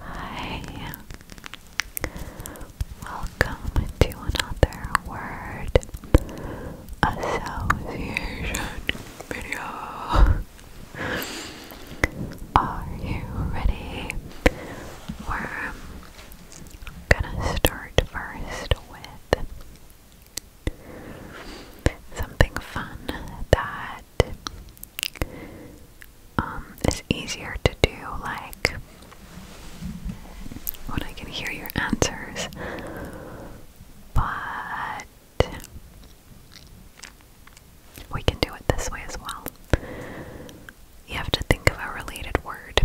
Hi, welcome to another word association video. Are you ready? We're gonna start first with something fun that um, it's easier to do, like when I can hear your answers, but we can do it this way as well. You have to think of a related word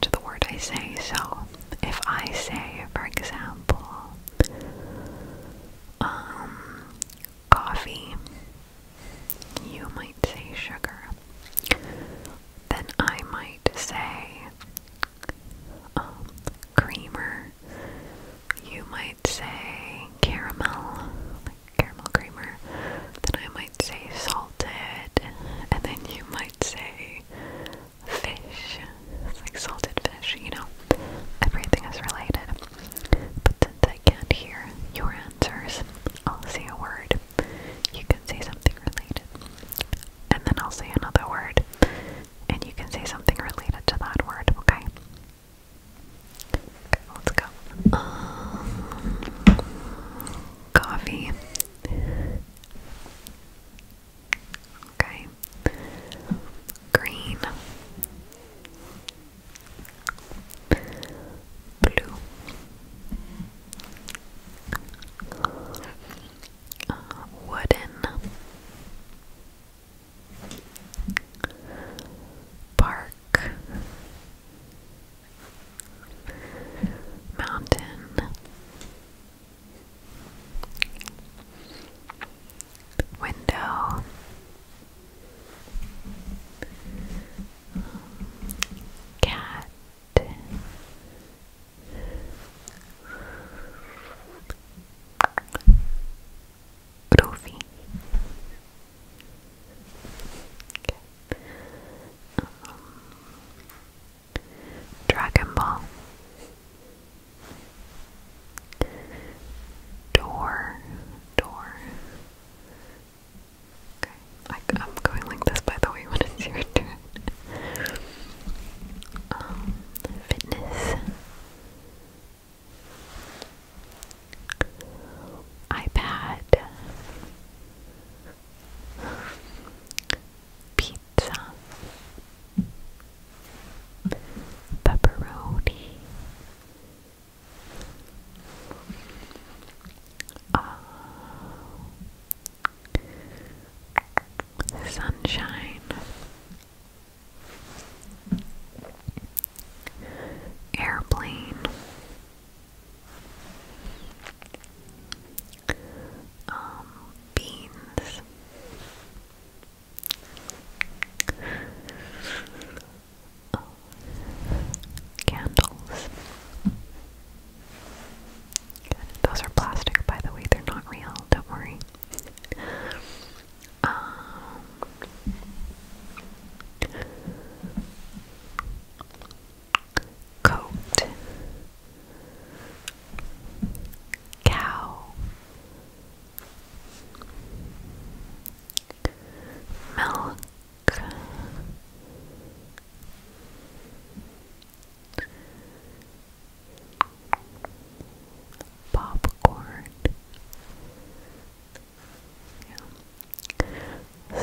to the word I say. So, if I say, for example, um, coffee, you might say sugar, then I might say um, creamer, you might say caramel, caramel creamer, then I might say salted, and then you might say fish. like salted fish, you know. Everything is related. I can't hear your answers, I'll say a word. You can say something related. And then I'll say another word. And you can say something related to that word, okay? let's go. Um, coffee. Okay. Green blue uh, wooden park mountain window cat Rofi um, Dragon Ball Door, door. Okay, I, am going like this by the way when it's your turn. um, fitness. iPad. Pizza. Pepperoni. Sunshine. Airplane. Um, beans candles. Those are plastic, by the way. They're not real. Don't worry. Um, coat, cow, milk popcorn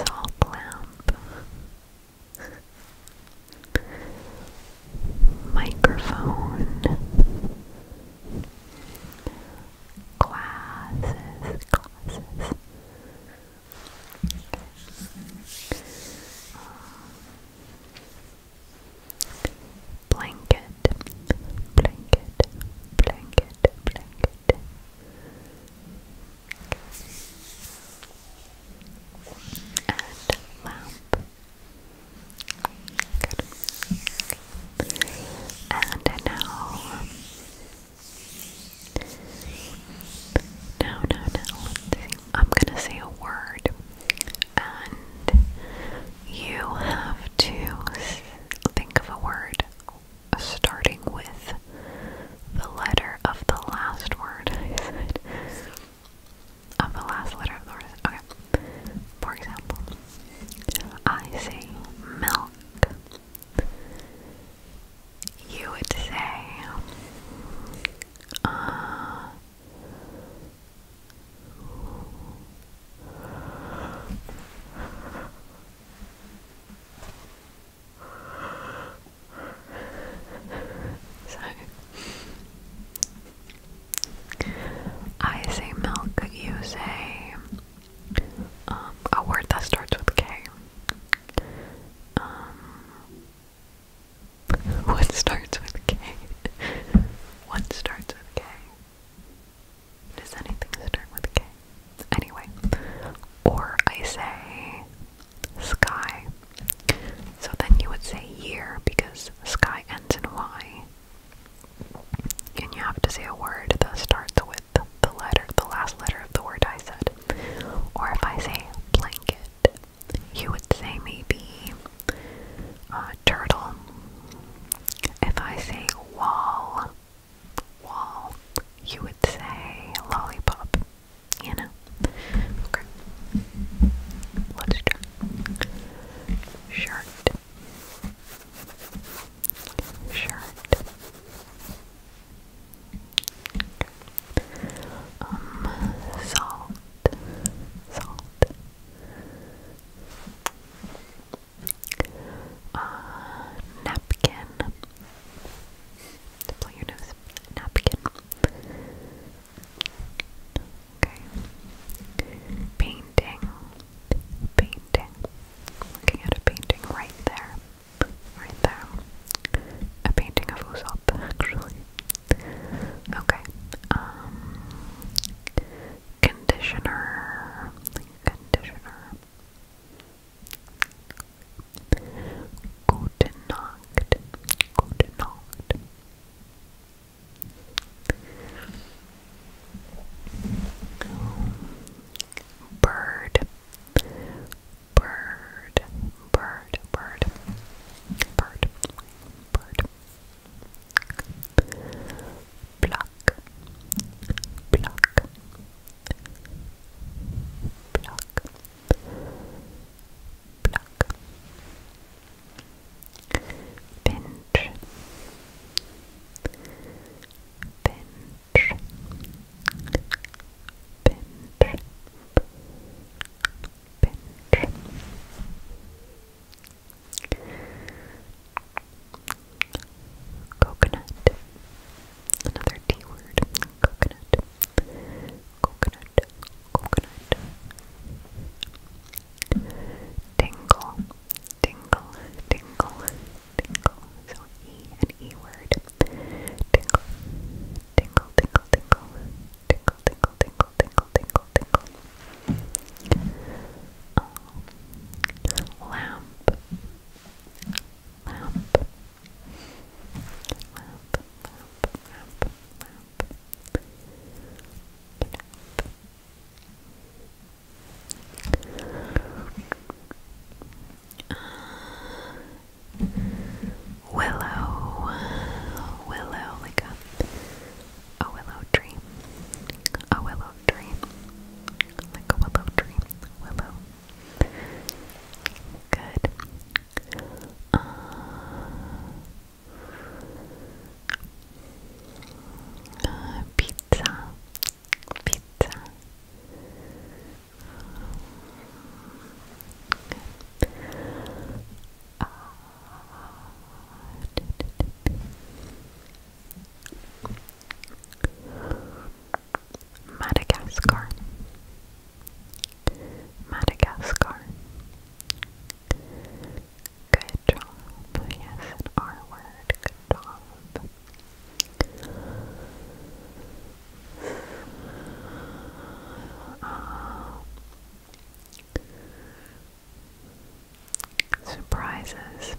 salt lamp microphone Glasses, glasses. blanket, blanket, blanket, blanket. And lamp, and now, now, now, now, I'm gonna say a word, and you have to think of a word starting with the letter of the last word Of the last letter of the word. For example, I say milk. You would say, uh, so I say milk, you say um, a word that starts with K. Um, what starts with K? what starts with K? Does anything start with K? Anyway, or I say sky. So then you would say year because sky ends in Y. Can you have to say a word that starts with the letter, the last letter of the word I said. Or if I say blanket, you would say maybe uh, turtle. If I say wall, wall, you would say lollipop. You know? Okay. Let's try. Shirt shirt. Um, salt, salt. Uh, napkin. Blow your nose. Napkin. Okay. Painting. Painting. Looking at a painting right there. Right there. A painting of Usopp, actually. Okay. Um, conditioner. Conditioner. Gute Nacht. Gute Nacht. Bird, bird, bird, bird, bird, bird. Pluck, pluck, pluck, pluck pinch, pinch, pinch, pinch. Coconut. Another D word. Coconut. Coconut. Coconut. Tingle, tingle, tingle, tingle. So E and E word. Tingle, tingle, tingle, tingle, tingle, tingle, tingle, tingle, tingle, tingle. Um, lamp, lamp, lamp, lamp, lamp, lamp. Uh, willow, willow, like a, a willow tree, a willow tree, like a willow tree, willow. Good. Uh, pizza, pizza. Madagascar, Madagascar, Good job. Yes, an R word. Good job. Um, surprises.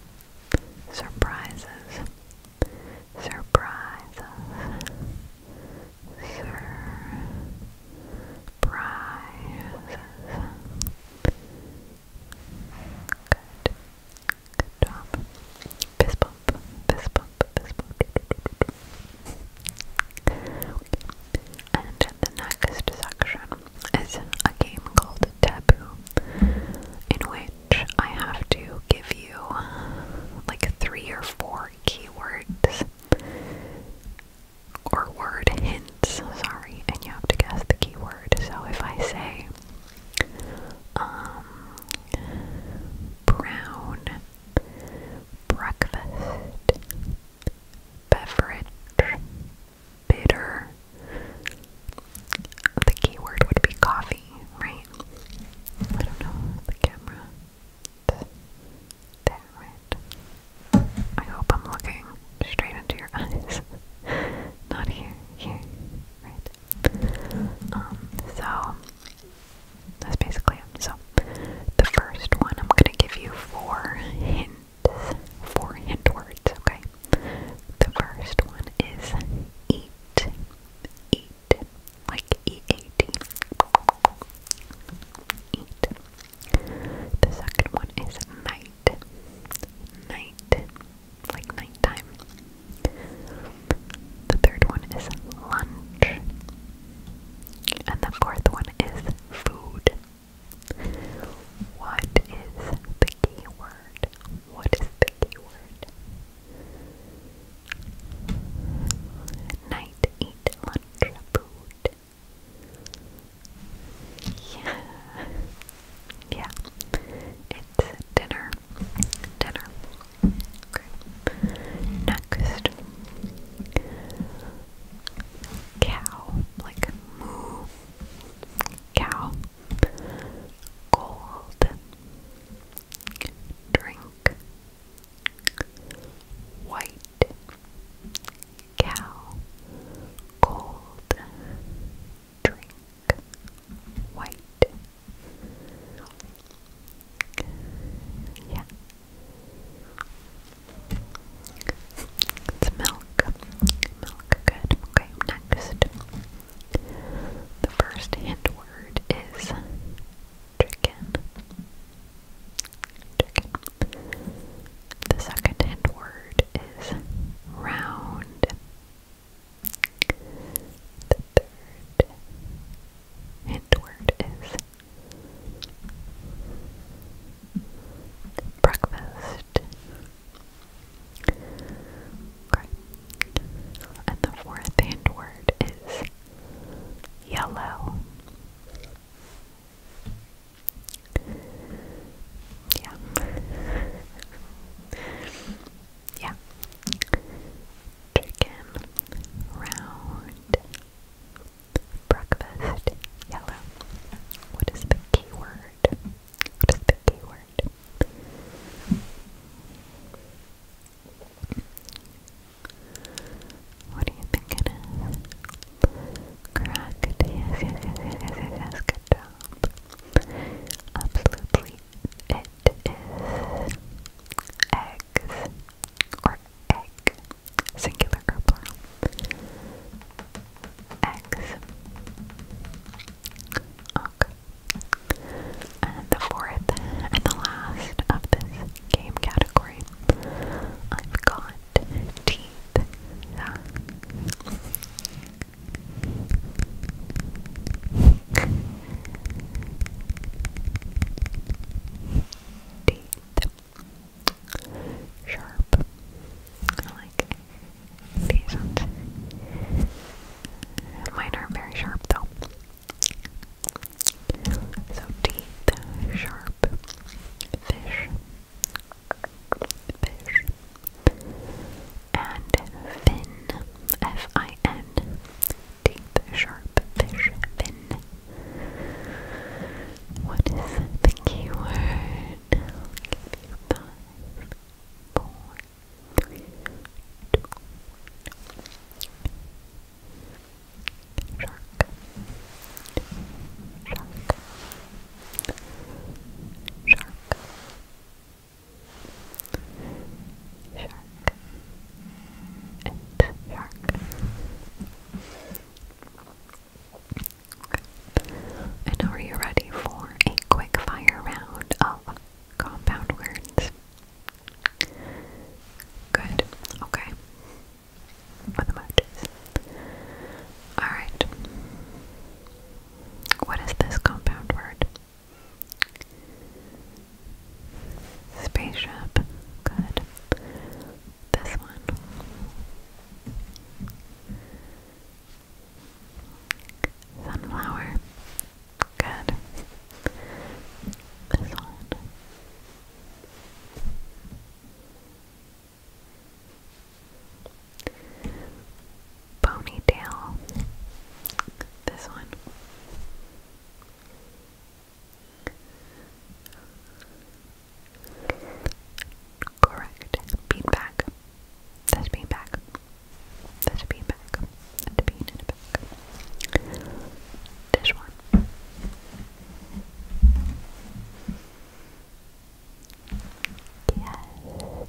Surprises. Surprises. Surprises prizes. Good. Good job. Fist bump, fist bump, fist bump. And the next section is a game called Taboo, in which I have to give you like three or four keywords or word hints, sorry, and you have to guess the keyword. So if I say um, brown breakfast beverage bitter the keyword would be coffee, right? I don't know the camera. Damn it. I hope I'm looking straight into your eyes. Not here, here, right? Um, so, that's basically it. So, the first one, I'm gonna give you four hint, four hint words, okay? The first one is eat, eat, like E-A-T, eat. The second one is night. Night. Like nighttime. The third one is lunch. And the fourth one is food. What is the key What is the key Night, lunch, food. Yeah. yeah. It's dinner. Dinner. Okay. Next. Cow. Like moo. Cow. Gold. Drink. White cow, cold drink, white. Yeah. It's milk. Milk, good. Okay, next. The first hint word is chicken. The second hint word is round. The third hint word is breakfast. Okay. And the fourth hint word is yellow. Yeah. yeah. Chicken, round, breakfast, yellow. What is the keyword? What is the keyword? What do you think it is? Good job. Absolutely. It is eggs or egg, singular plural. Eggs. Okay. And the fourth and the last of this game category, I've got teeth. Yeah. teeth. Sharp. I like these ones. Mine are very sharp though. So teeth, sharp, fish, fish, and fin, F-I-N, teeth, sharp, fish, fin. What is the keyword? i Shark. Shark. Shark. Shark. And shark. And are you ready for a quick fire round of compound words? Good. Okay for the matches. Alright. What is this compound word? Spaceship. Good. This one. Sunflower. Good. This one. Ponytail. This one. Correct. Beanbag. That's beanbag. That's beanbag. That's a Dish one. Yes,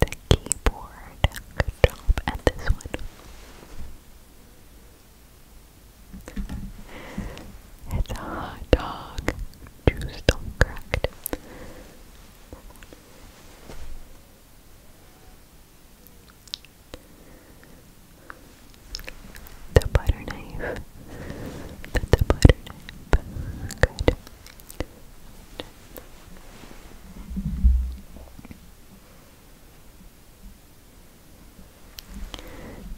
the keyboard. Good job at this one. It's a hot dog. Juice do cracked. The butter knife. The, butter knife. Good.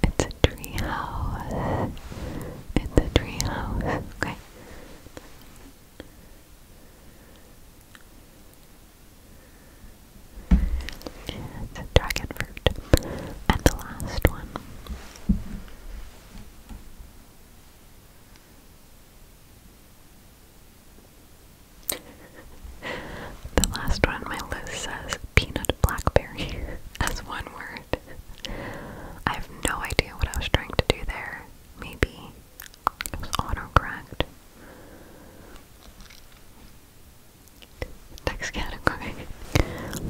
It's a tree house. It's a tree house. Okay. It's dragon fruit. And the last one. the last one on my list says peanut blackberry as one word. I have no idea what I was trying to do there. Maybe it was autocorrect. Next category.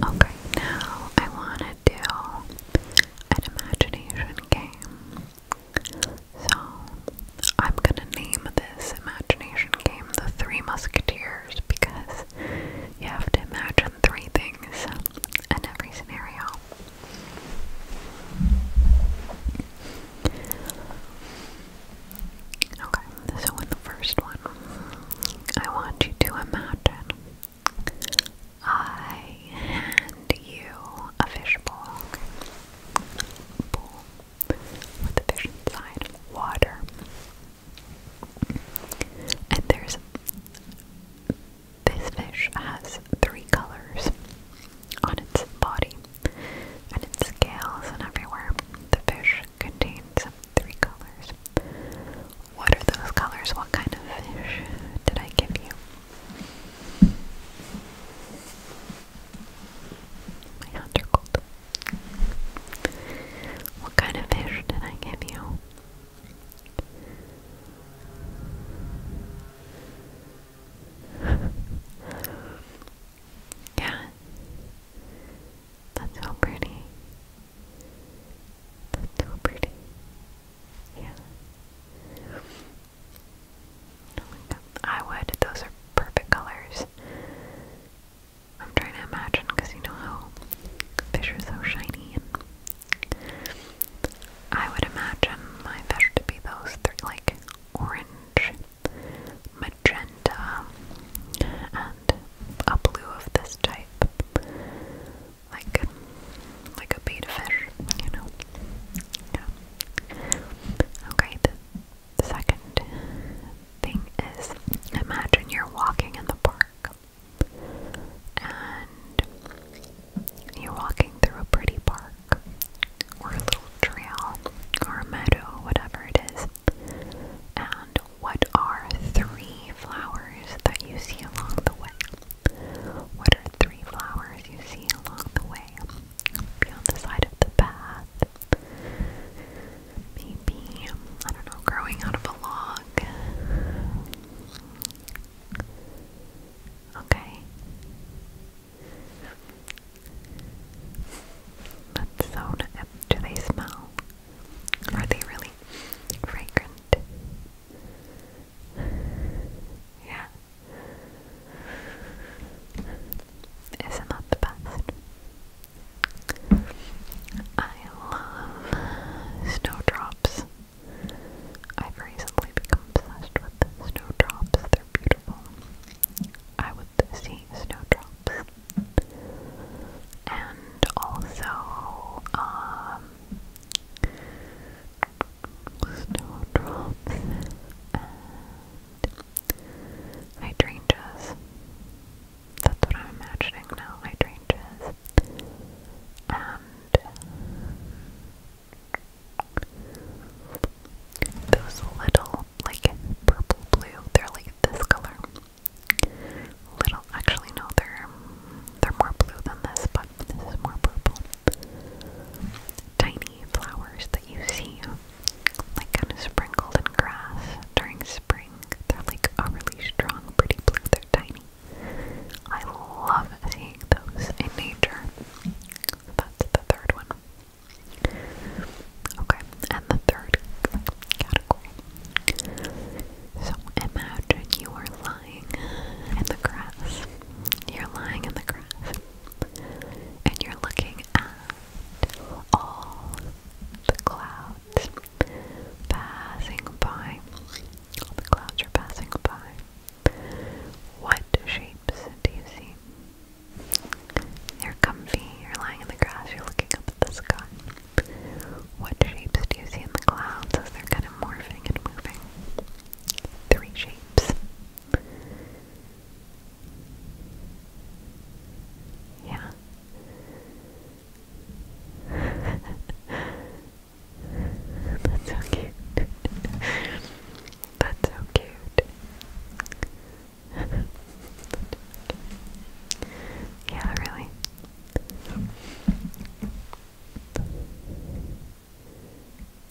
Okay, now I want to do an imagination game. So I'm gonna name this imagination game the Three Musketeers because you have to imagine three things in every scenario. Okay, so in the first one, I want you to imagine I hand you a fishbowl. Bowl with a fish inside, water. And there's this fish has three colors on its body and its scales and everywhere. The fish contains three colors. What are those colors? What kind of fish did I give you? My hands are cold. What kind of fish did I give you? Yeah. That's so pretty. That's so pretty. Yeah. Oh I would. Those are perfect colors. I'm trying to imagine because you know how fish are so shiny. I would imagine my fish to be those, they're like orange magenta, and a blue of this type. Like like a beta fish, you know. Okay, the second thing is imagine you're walking in the park and you're walking through a pretty park or a little trail or a meadow, whatever it is, and what are three flowers that you see along the way? What are three flowers you see along the way? Be the side of the path. Maybe, I don't know, growing out of a log. Okay. But so uh, do they smell? Are they really fragrant? Yeah. Isn't that the best? I love snowdrops. I've recently become obsessed with snowdrops. They're beautiful. I would see snowdrops. And also, um, snowdrops hydrangeas. That's what I'm imagining now, hydrangeas. And those little like purple blue. They're like this color. Little, actually no, they're they're more blue than this, but this is more purple. Tiny flowers that you see, like kind of sprinkled in grass during spring. They're like a really strong, pretty blue. They're tiny. I love seeing those in nature. That's the third one. Okay, and the third category. So imagine you are lying in the grass. You're lying in the grass. And you're looking at all the clouds passing by. the clouds are passing by. What shapes do you see? You're comfy, you're lying in the grass, you're looking up at the sky. What shapes do you see in the clouds as they're kind of morphing and moving? Three shapes. Yeah. That's so cute. That's so cute yeah, really.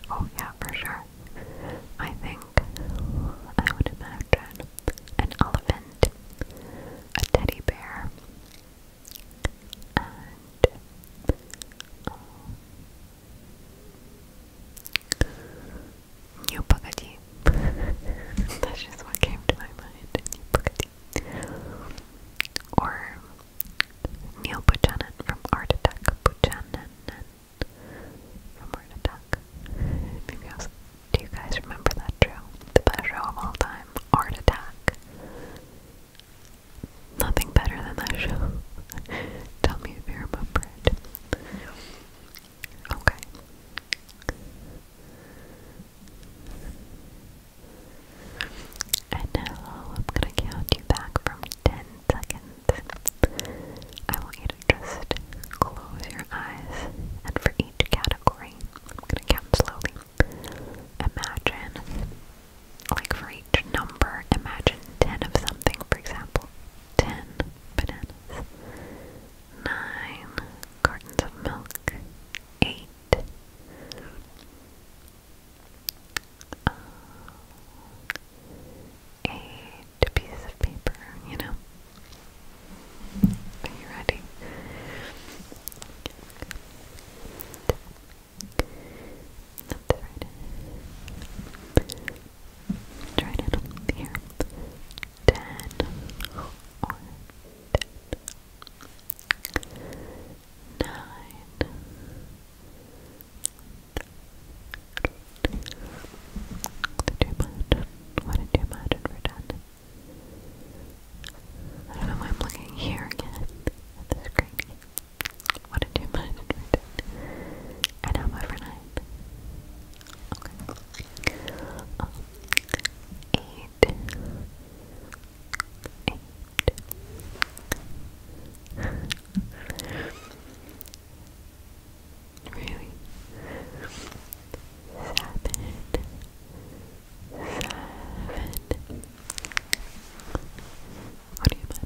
Oh, yeah, for sure. I think I would imagine an elephant, a teddy bear, and um, New Bugatti. That's just what came to my mind. New Bugatti. Or Neil Buchanan from Art Attack. Buchanan from Art Attack. Maybe I do you guys remember that show? The best show of all time, Art Attack. Nothing better than that show. Tell me if you remember it. Okay. And hello, I'm gonna count you back from 10 seconds. I want you to just close your eyes, and for each category, I'm gonna count slowly. Imagine, like for each number, imagine 10 of something, for example ten bananas, nine cartons of milk, eight uh, eight pieces of paper, you know. Are you ready? That's right. Try it up What did you imagine for ten? I don't know why I'm looking here again at the screen. What did you imagine I know, for nine. Okay. eight. Eight. really? Seven. Seven. What do you mean?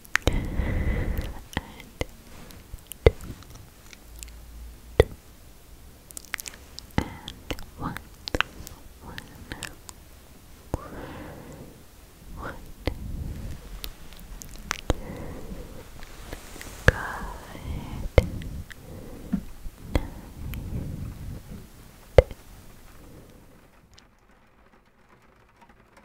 and two, two, and one, one, one. Good. Night.